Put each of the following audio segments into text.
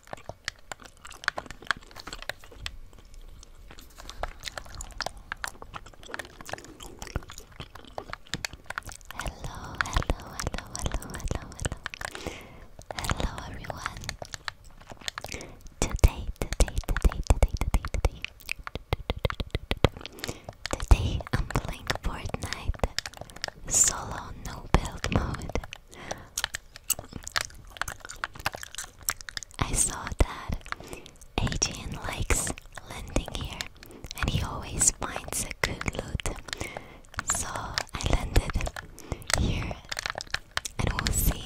Hello, hello, hello, hello, hello, hello. Hello everyone. Today, today, today, today, today, today. Today I'm playing Fortnite solo no build mode. I saw that Adrian likes landing here and he always finds a good loot. So I landed here and we'll see.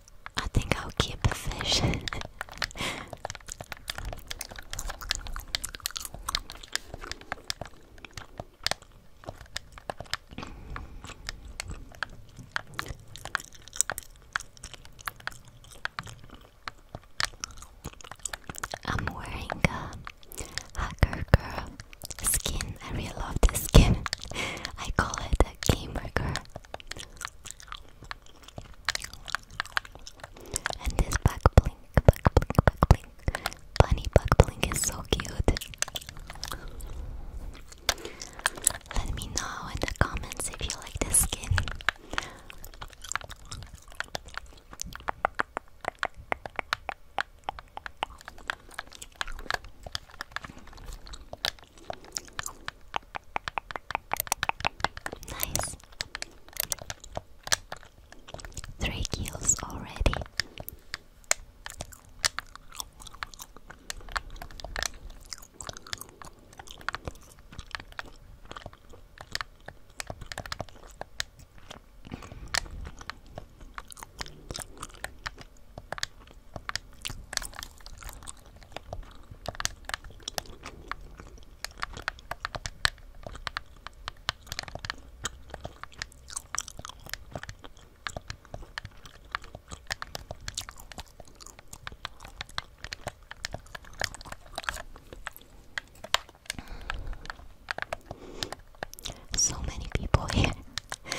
I think I'll keep the fish. I'm wearing a hacker girl skin. I really love this skin. I call it a gamer girl. And this back blink, back blink, back blink. Bunny bug blink is so cute. Let me know in the comments if you like this skin. Nice. Three kills already. So many people here.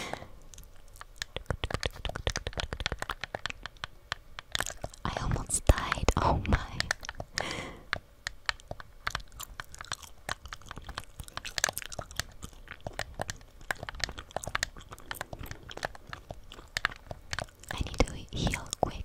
I almost died. Oh my. I need to heal quick.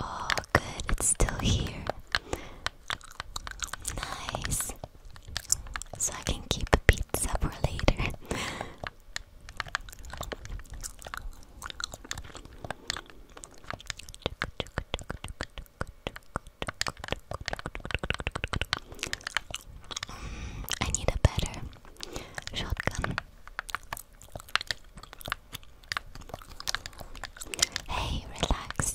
Oh, good, it's still here. Nice. So I can keep a pizza for later. Mm, I need a better shotgun. Hey, relax.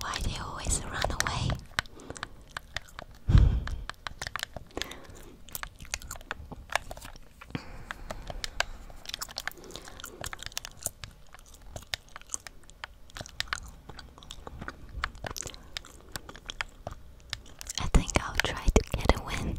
Why do you always run away? I think I'll try to get a win.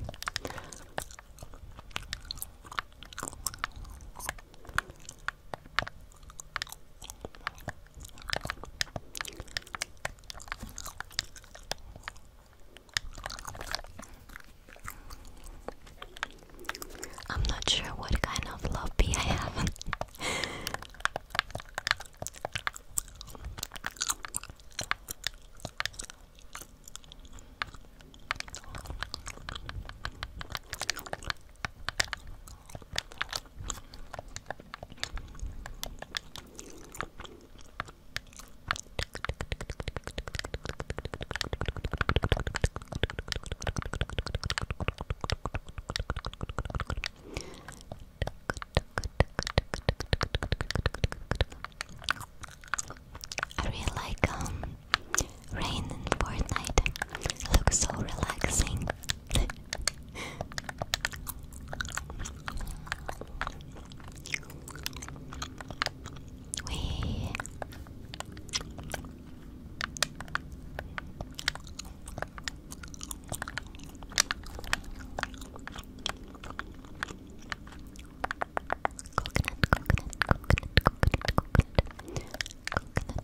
I'm not sure what kind of lobby I have. I really like um rain and Fortnite. It looks so relaxing. We coconut, coconut, coconut, coconut, coconut, coconut. Coconut, coconut, coconut.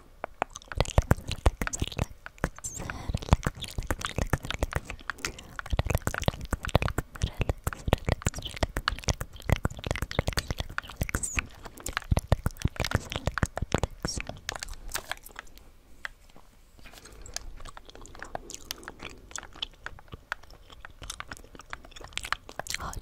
Hot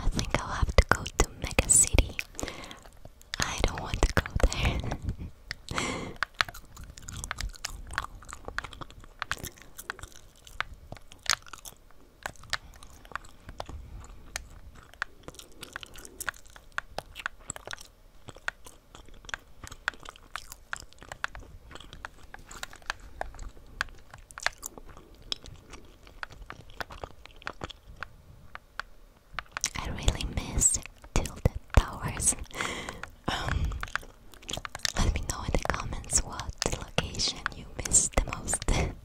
I think I'll have to go to Mega City. I don't want to go there. I really miss Tilted Towers. Um, let me know in the comments what location you miss the most.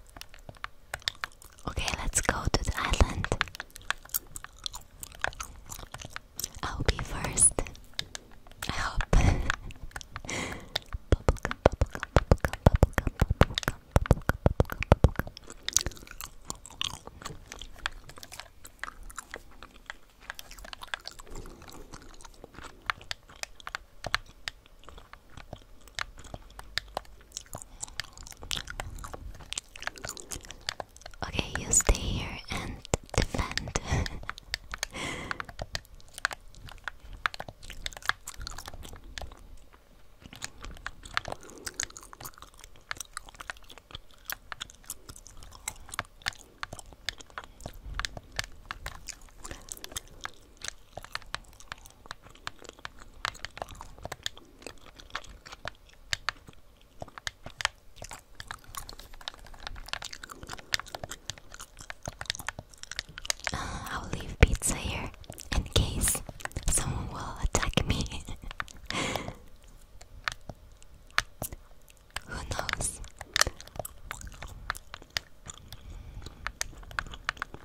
Okay, let's go to the island. I'll be first. I hope. Okay, you stay here and defend. Uh, I'll leave pizza here in case someone will attack me. Who knows?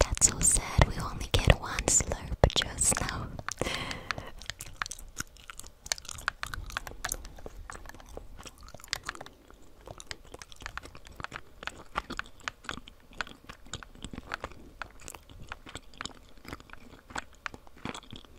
That's so sad, we only get one slurp just now.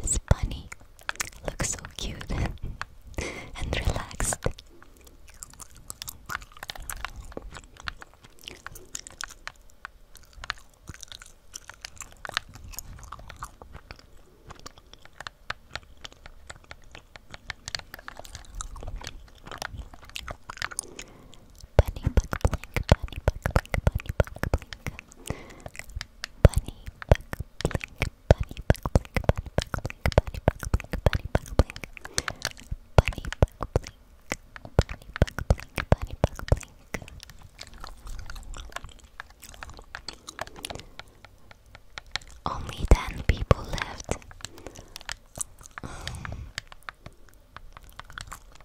This bunny looks so cute and relaxed. Bunny buck blink, bunny buck blink, bunny buck blink. Bunny buck blink, bunny buck blink, bunny blink, blink, bunny blink. blink, bunny blink, blink. Only ten people left.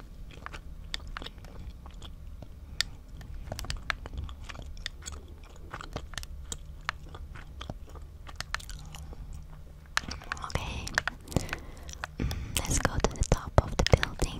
Okay, mm, let's go to the top of the building.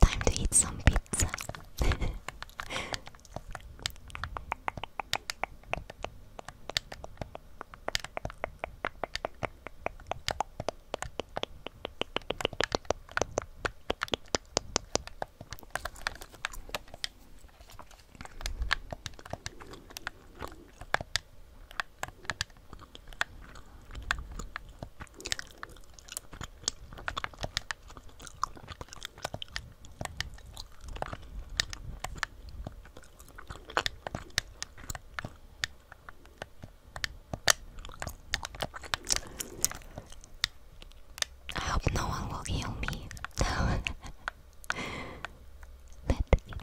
Time to eat some pizza. I hope no one will heal me. medkit,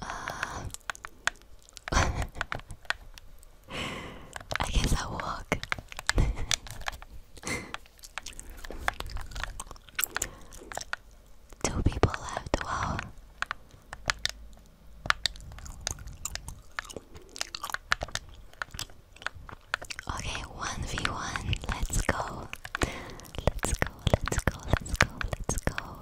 Uh, I guess i walk. Two people left. Wow. Okay, 1v1, let's go. Let's go, let's go, let's go, let's go.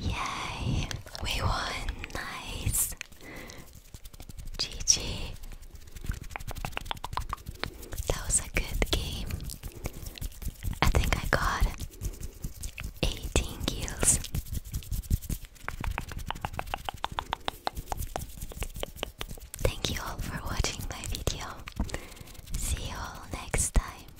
Yay! We won! Nice! GG! That was a good game. I think I got 18 kills. Thank you all for watching my video. See you all next time.